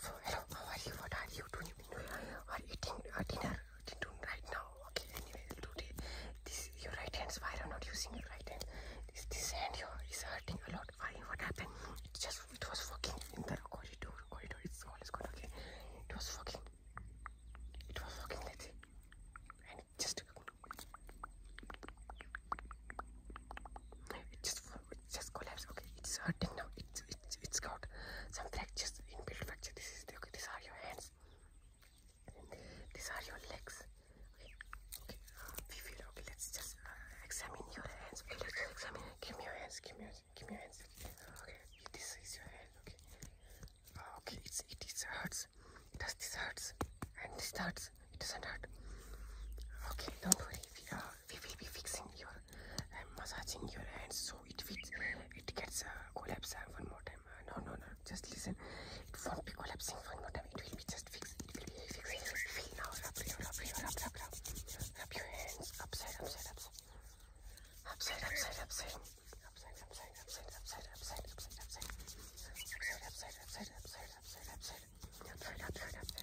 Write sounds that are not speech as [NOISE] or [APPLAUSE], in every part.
So hello, how are you? What are you doing? Are eating uh, dinner right now? Okay, anyway, today this your right hand. Why are not using your right hand? This this hand here is hurting a lot. Why? What happened? It just it was working in the corridor. Corridor. It's all is good. Okay, it was working. It was working. Let's see, and it just it just it just collapsed. Okay, it's hurting now. It's it's it's got some fractures, inbuilt fracture. This is the okay. These are your hands. These are your legs. Okay, okay. We feel okay. Let's just uh, examine your hands. Okay, let's examine. Give me your hands. Give me your give me your hands. Okay, this is your hand. Okay. Okay, it's it it hurts. Does this hurts? And this hurts. It doesn't hurt. Okay, don't worry. We, uh, we will be fixing your I'm massaging your hands so it fits, it gets uh, collapse uh, one more time. Uh, no, no, no, just listen. It won't be collapsing one more time. It will be just fixed. It will be fixed. Feel now. Rub, your, rub, your, rub, rub, rub. Rub your hands upside, upside, upside. Upside, upside, upside. Upside, upside, upside, upside, upside, upside, upside. Upside, upside, upside, upside, upside, upside. Upside, upside, upside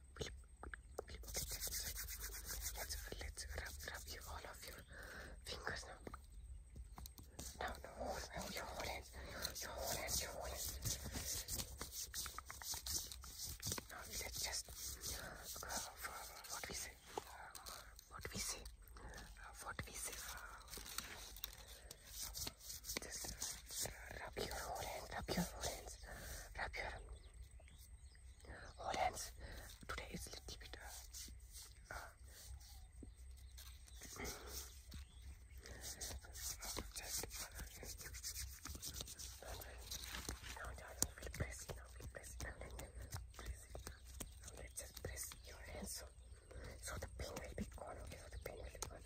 Let's, let's rub, rub you all of your fingers now. Now, no, hold, your hands, your hands, your hands. Now, just uh, for what we say, what we say, what we say. just uh, your hands, rub your hands, rub your Hold oh, hands. Today it's a little bit. now, now, press Now, will press Now, just press your hands so, so the pain will be gone. Okay, so the pain will be gone.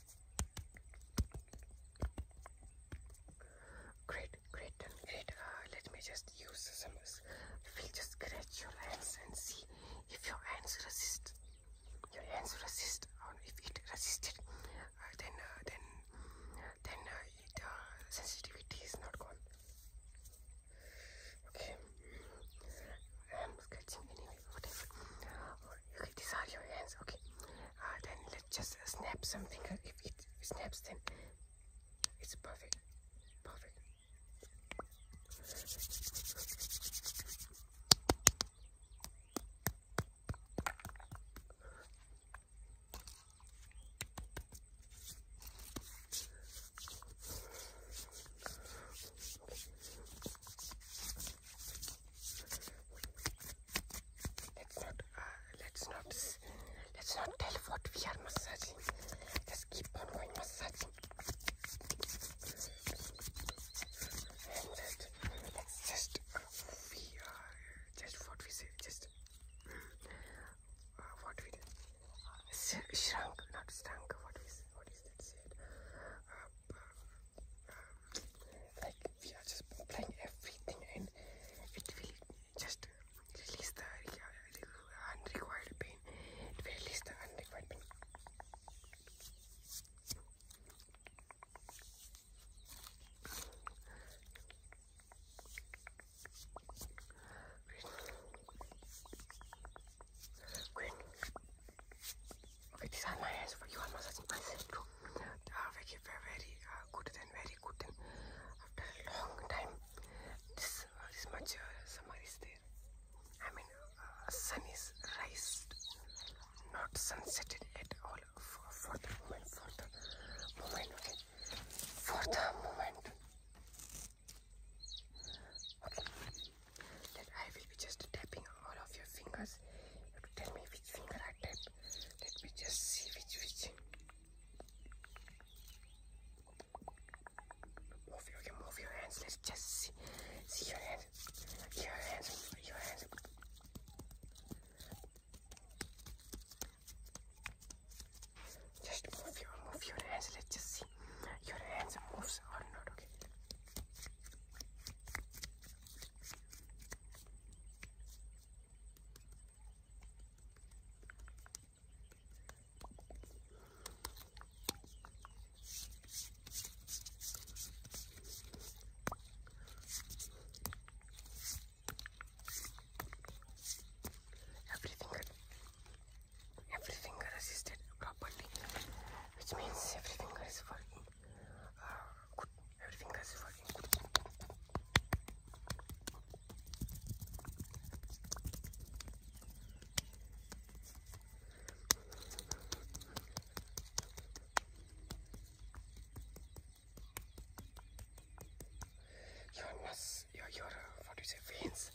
Great, great, great. Uh, let me just use some. We'll just scratch your hands and see if your hands resist. Your hands resist, or if it resisted, uh, uh, then then then it, sensitivity is not gone. Okay, I'm scratching anyway. Whatever. Okay, these are your hands. Okay, uh, then just snap something. Uh, if it snaps, then it's perfect. Perfect. Uh, let's not, let's not, let's not tell what we are massaging. Let's keep on going massaging. just, just, uh, we are, just what we say, just, uh, what we did, shrunk, not stunk, what is, what is that said? Um, we are just playing everything and it will just release the unrequired pain. It will release the unrequired pain. Wait. Okay, these are you are massaging my head uh, very, very ah, good and very good and after a long time this, ah, this much summer is there I mean sun is raised not sunset at all for, for the moment for the moment okay for the moment okay then I will be just tapping all of your fingers tell me which finger I tap let me just see which which. Move your, okay, move your hands. Let's just see, see your hands, your hands, your hands. Just move your, move your hands. Let's just see your hands moves or not. Okay. Everything, every finger resisted properly, which means every finger is working. Your nose, your your uh, what do you say? Veins.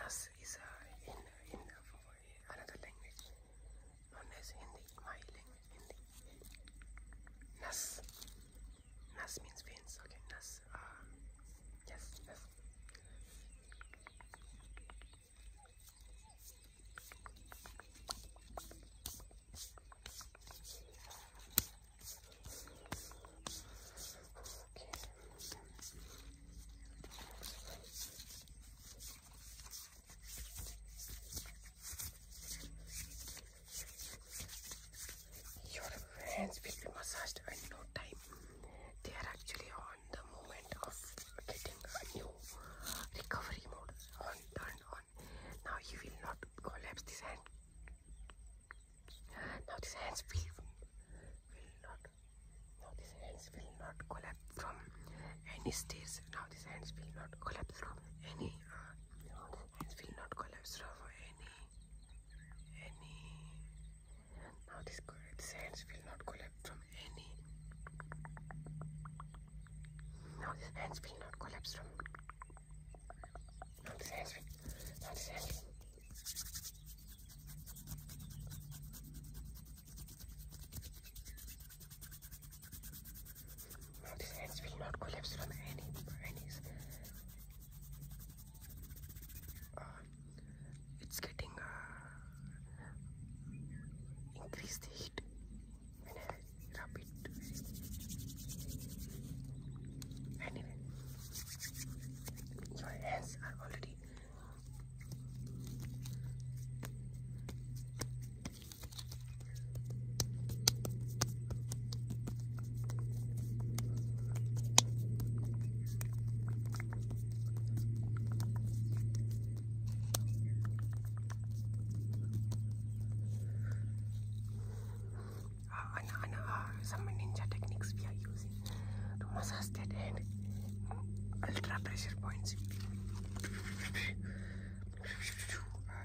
Nose is uh, in in uh, another language known as Hindi, my language. Nas. Nas means veins. Okay, Nas. Uh, yes, your hands will be massaged in no time. They are actually on the moment of getting a new recovery mode on turn on. Now you will not collapse this hand. Now these hands will, will not now these hands will not collapse from any stairs. Now these hands will not collapse from any uh, his feet not collapsed over any any now this his will not collapse from any now these will not collapse from now these now these ends will not collapse from any any's. it's getting uh, heat when Anyway, your hands are already uh, ah, and, ah, some ninja techniques we are using to massage that hand. Ultra pressure points. [LAUGHS] Ah,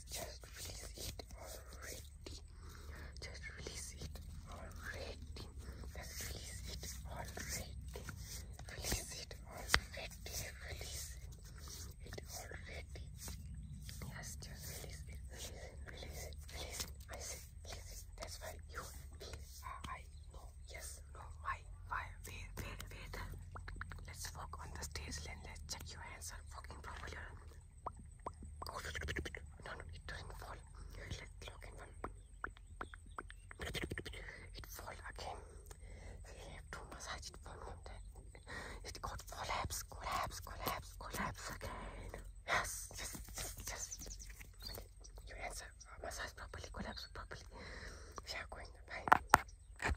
just release it already. Just release it already. Just release it already. Release it already. Release it already. Yes, just release it. Release it. Release it. Release it. I said release it. That's why you know. Yes, no, why, why, wait, wait, wait. Let's walk on the stage and let's check your hands are walking properly. No, no, it doesn't fall. Let's look in It fall again. We have to massage it for me. It got collapse, collapse, collapse, collapse again. Yes, yes, yes, yes. your hands are properly, collapse properly. We going to